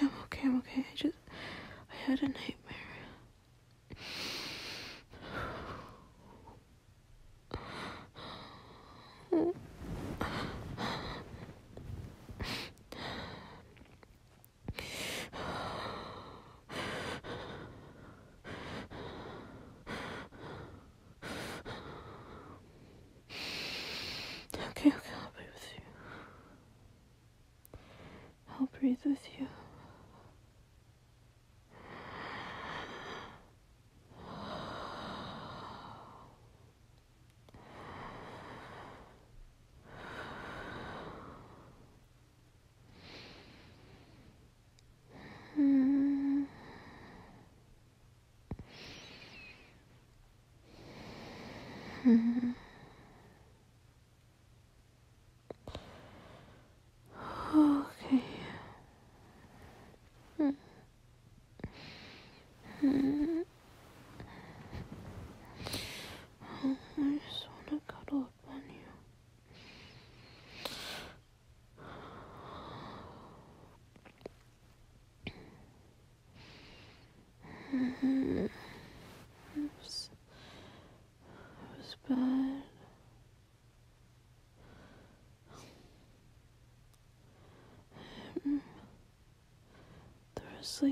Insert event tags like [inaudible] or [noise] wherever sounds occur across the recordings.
I'm okay, I'm okay. I just, I had a nightmare. Okay, okay, I'll be with you. I'll breathe with you okay. Oh, I just want to cuddle up on you. It was, bad. Um, there was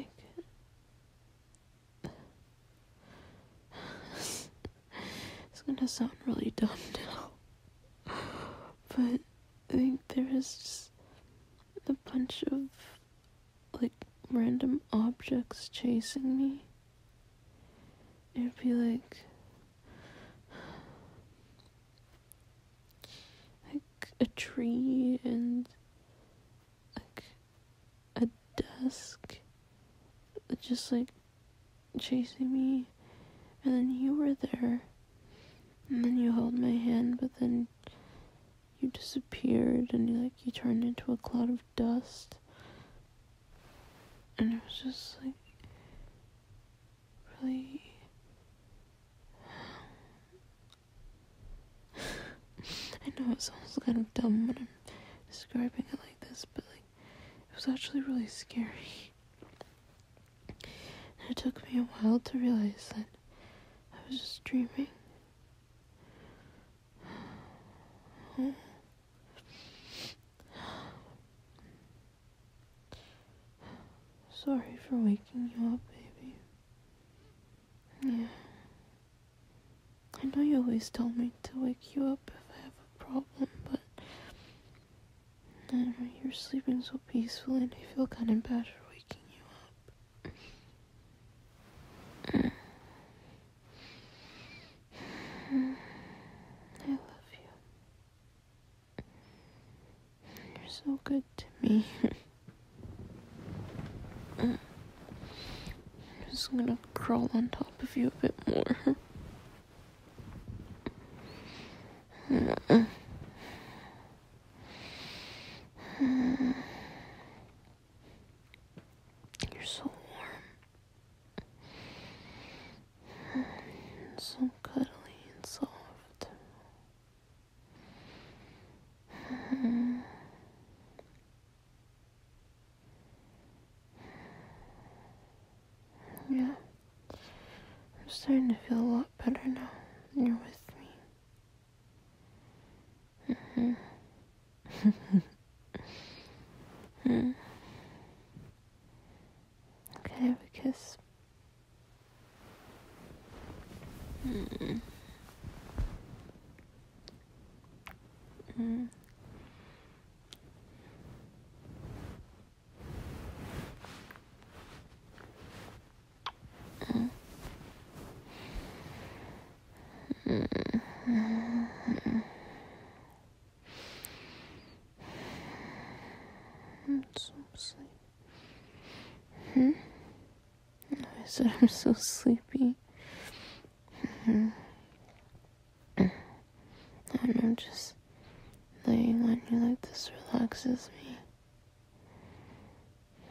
it's gonna sound really dumb now, but I think there a bunch of like random objects chasing me. It'd be like like a tree and like a desk just like chasing me and then you were there and then you held my hand but then you disappeared and you, like you turned into a cloud of dust and it was just like really [sighs] I know it sounds kind of dumb when I'm describing it like this, but like it was actually really scary. And it took me a while to realize that I was just dreaming. Sorry for waking you up, baby. Yeah. I know you always tell me to wake you up if I have a problem, but you're sleeping so peacefully and I feel kind of bad for waking you up. I love you. You're so good to me. I'm just gonna crawl on top of you a bit more. You're so warm, so cuddly and soft. Yeah, I'm starting to feel a lot better now. You're with me. Okay, have kiss. Mm. Mm. I'm so sleepy. Hmm? [laughs] I said I'm so sleepy. hmm i know just laying on you like this relaxes me.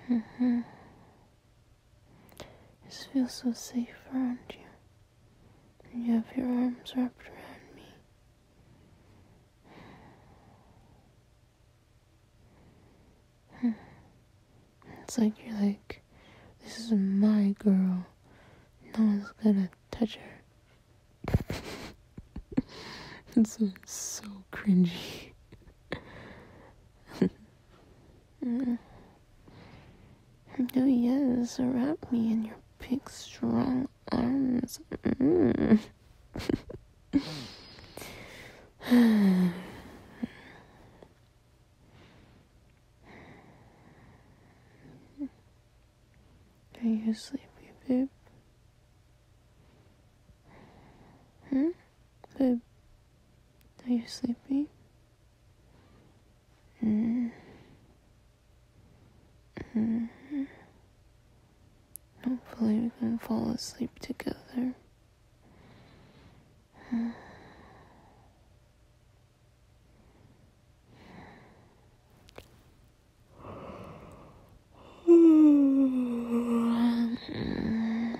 Mm hmm just feel so safe around you. And you have your arms wrapped around me. Hmm. It's like you're like, this is my girl. No one's gonna touch her. [laughs] It's so cringy. [laughs] mm. Oh yes, wrap me in your big strong arms. Mm. [sighs] Are you sleepy, babe? Hmm? are you sleepy? Mm-hmm. Mm-hmm. Hopefully we can fall asleep together. [sighs] Mm-hmm.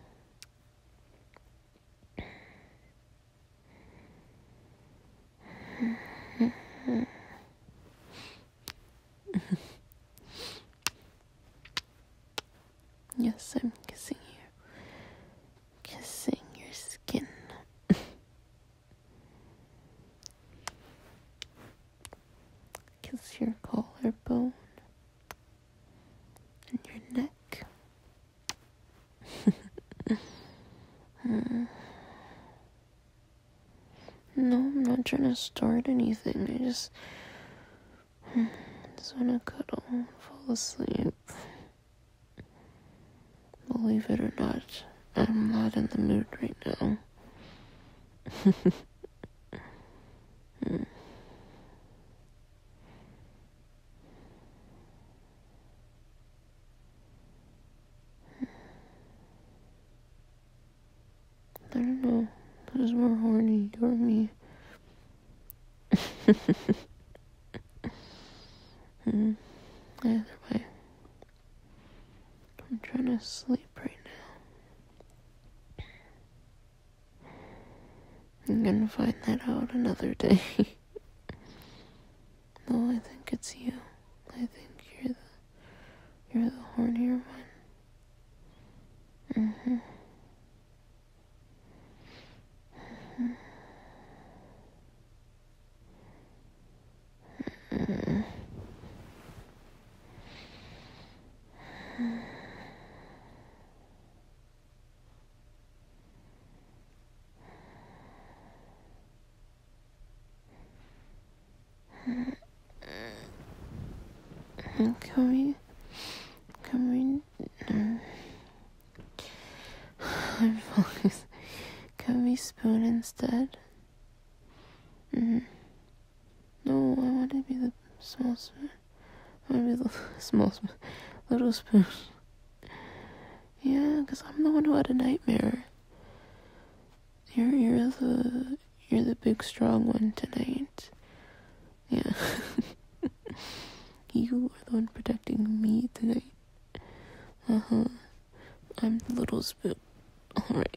[laughs] yes, I'm kissing you. Kissing your skin. [laughs] Kiss your collarbone and your neck. [laughs] No, I'm not trying to start anything. I just, I [sighs] just want to cuddle and fall asleep. Believe it or not, I'm not in the mood right now. [laughs] Hmm. I don't know. Who's more horny, you or me? mm. Either way, I'm trying to sleep right now. I'm gonna find that out another day. [laughs] no, I think it's you. I think you're the you're the hornier one. Mm-hmm. hmm can we? Can we? I'm focused. Can we spoon instead? Mm-hmm. No, I want to be the small spoon. I want to be the [laughs] small spoon. Little spoon. Yeah, because I'm the one who had a nightmare. You're, you're the, you're the big strong one tonight. Yeah. [laughs] you are the one protecting me tonight. Uh huh. I'm the little spoon. Alright.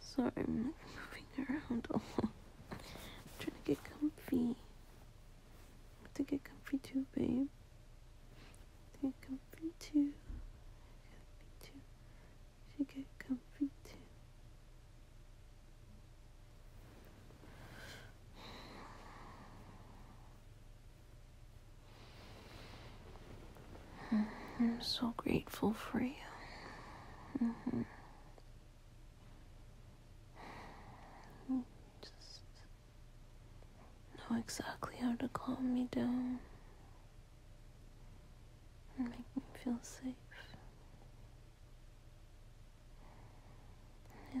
Sorry, I'm moving around trying to get comfy. I have to get comfy too, babe. To get comfy too. Comfy too. Should get comfy too. Mm-hmm. I'm so grateful for you. Mm-hmm. Just know exactly how to calm me down and make me feel safe. I love you.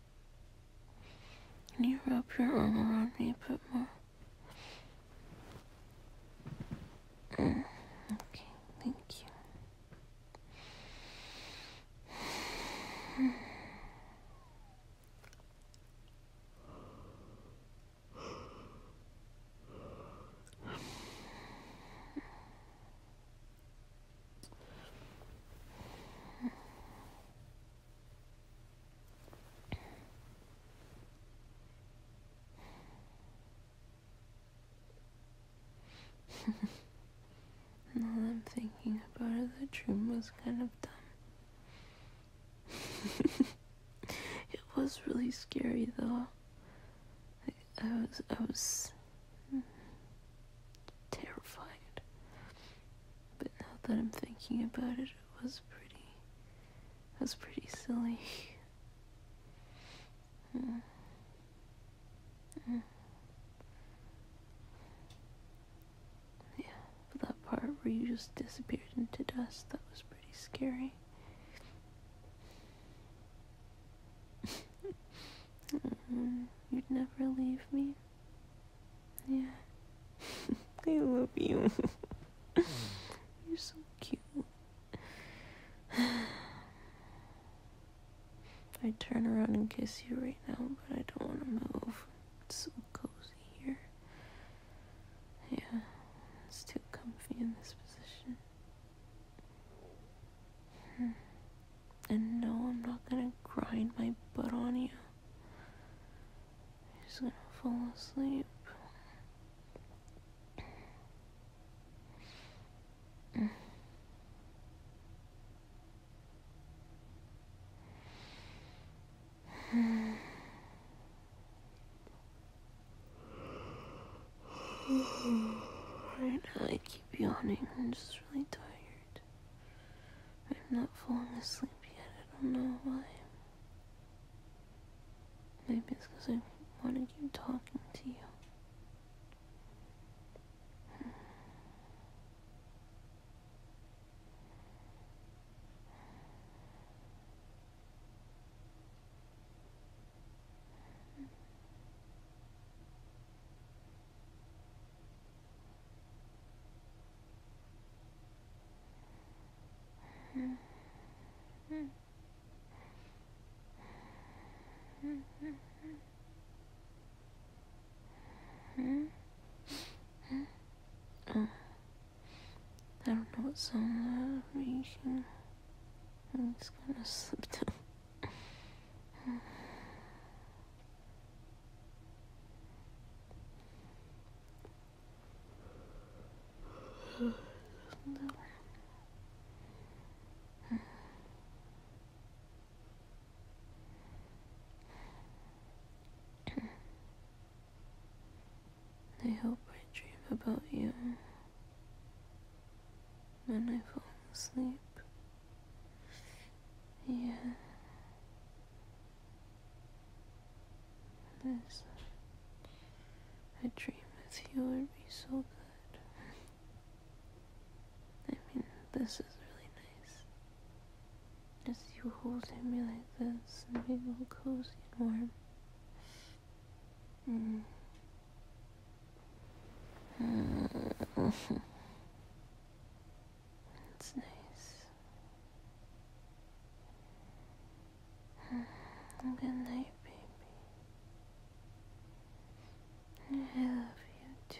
Can you wrap your arm around me a bit more? Mm, okay, thank you. All [laughs] I'm thinking about is the dream was kind of dumb. [laughs] it was really scary though. I was I was terrified. But now that I'm thinking about it, it was pretty. It was pretty silly. [laughs] Yeah, that part where you just disappeared into dust, that was pretty scary. [laughs] Mm-hmm. You'd never leave me. Yeah. [laughs] I love you. [laughs] You're so cute. i [sighs] turn around and kiss you right now, but I don't want to move. It's so cozy here. Yeah, it's too comfy in this position. Hmm. And no, I'm not gonna grind my butt on you. He's gonna fall asleep. [sighs] right now I keep yawning. I'm just really tired. I'm not falling asleep yet. I don't know why. Maybe it's because I wanted you talking to you. I don't know what song that I'm making. I'm just gonna slip down. I hope I dream about you when I fall asleep. Yeah. This. A dream with you would be so good. I mean, this is really nice. Just you holding me like this and being all cozy and warm. Mm. Mm. [laughs] it's nice. [sighs] Good night, baby. I love you too.